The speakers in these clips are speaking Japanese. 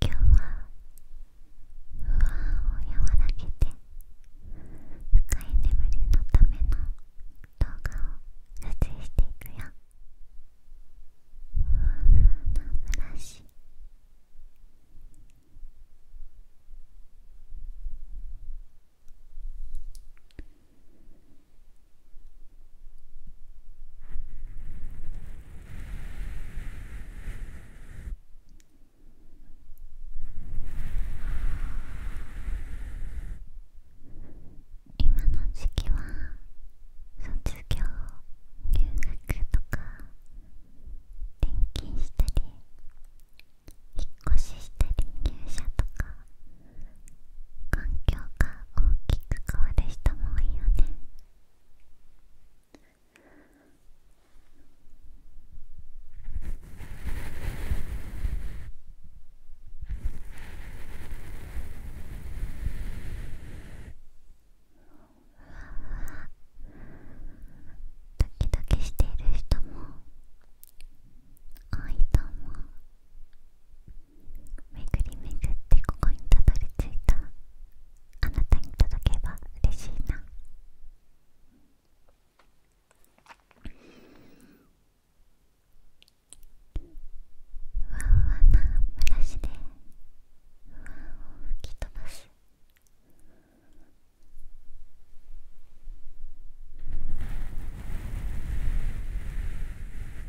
今日は不安を和らげて深い眠りのための動画を撮影していくよふわふわなブラシ今の時期は卒業入学とか転勤したり引っ越ししたり入社とか環境が大きく変わる人も多いよねふわふわドキドキしている人も多いと思うめぐりめぐってここにたどり着いたあなたに届けば嬉しいなふわふわなブラシで不安を吹き飛ばす「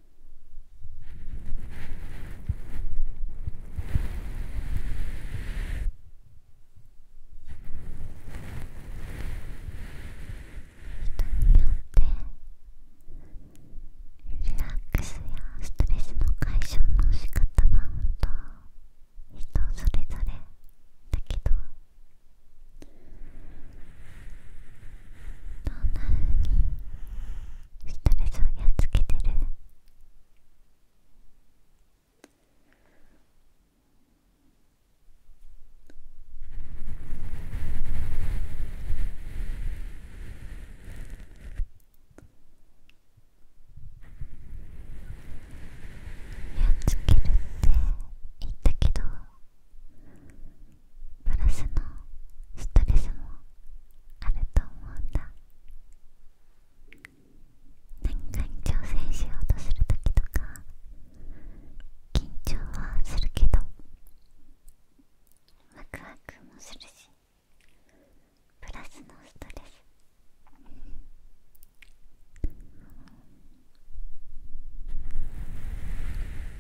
人によってリラックスやストレスの解消の仕方は本当人それぞれだけどどんな風にストレスをやっつけてるやっつけるって言ったけどプラスのストレスもあると思うんだ何かに挑戦しようとするときとか緊張はするけどワクワクもするしプラスのストレスあ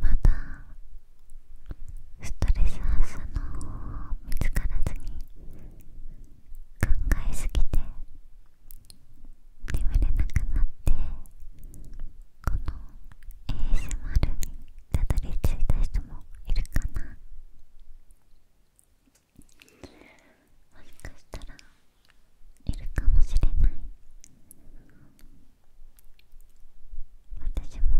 まだストレス発散の方法見つからずに考えすぎて眠れなくなってこの ASMR にたどり着いた人もいるかなもしかしたらいるかもしれない私も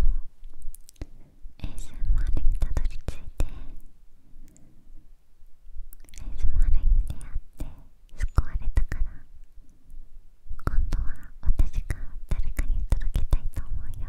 エース s m r にたどり着いてエース s m r に出会って救われたから今度は私が誰かに届けたいと思うよ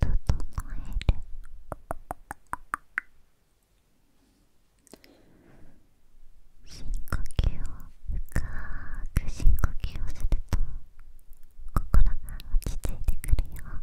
整える深呼吸を深く深呼吸をすると心が落ち着いてくるよそ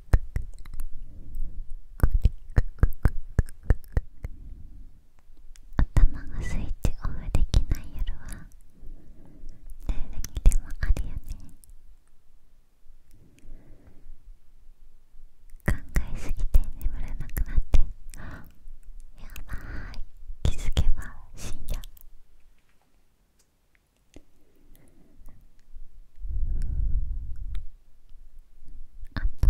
頭がスイッチオフできない夜は誰にでもあるよね考えすぎて眠れなくなってやばい気づけば深夜あと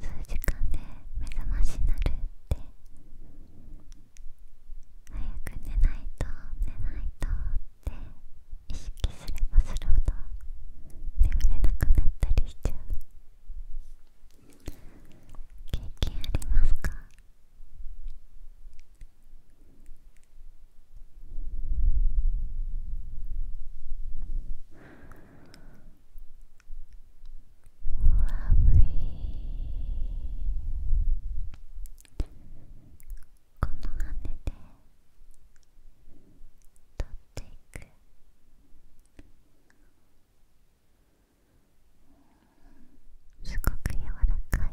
数時間で目覚ましなるって早く寝ないと寝ないとって意識すればするほど眠れなくなったりしちゃう経験ありますかこのっていくすごく柔らかいラフィー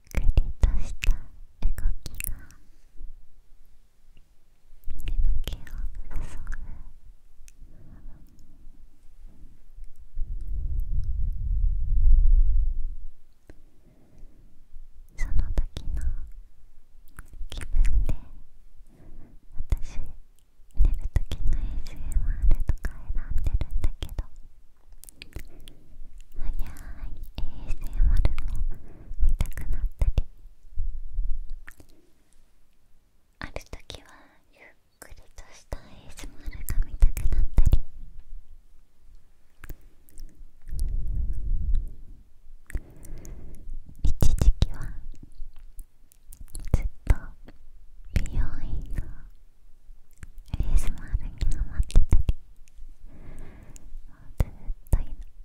くりとした動きが眠気を誘うその時の気分で私寝る時の ASMR とか選んでるんだけど早い ASMR も見たくなったりある時はゆっくりとしたエ a s m ルが見たくなったり一時期はずっと美容院のエ a s m ルにハマってたりもうずっと見てた私は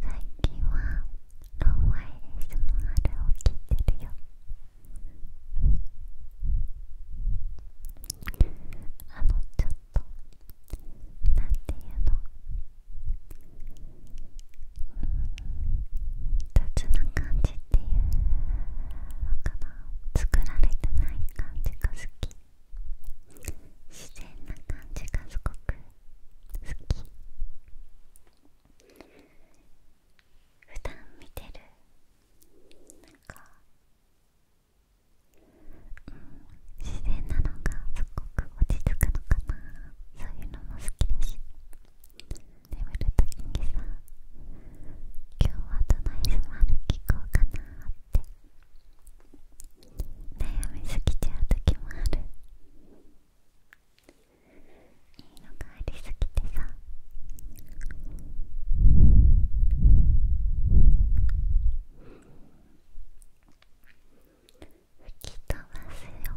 最近はローワイレスのあれを切ってるよあのちょっとなんていうの雑な感じっていうのかな作られてない感じが好き自然な感じがすごく好き普段見てるなんか、うん、自然なのがすごく落ち着くのかなそういうのも好きだし眠るときにさ今日はどの SMR 聞こうかなって悩みすぎちゃうときもあるいいの帰りすぎてさ吹き飛ばすよ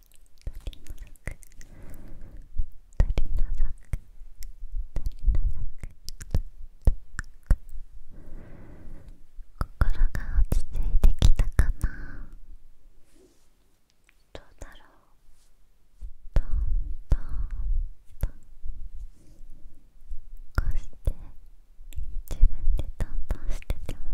心が落ち着いてきたかなどうだろうトントントこうして自分でトントンしててもなか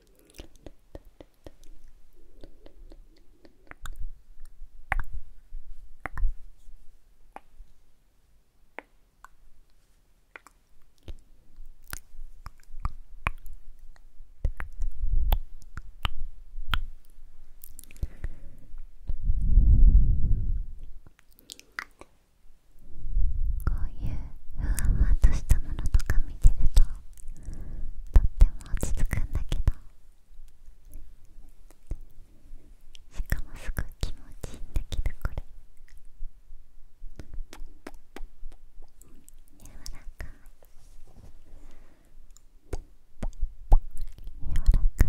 こういうふわふわとしたものとか見てるととっても落ち着くんだけどしかもすごい気持ちいいんだけどこれ柔らかい柔らかいとってとってとって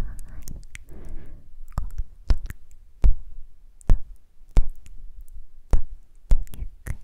ゆっくり。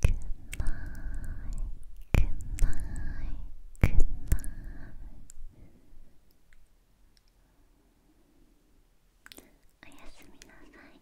Good night, good night, good night. O やすみなさい。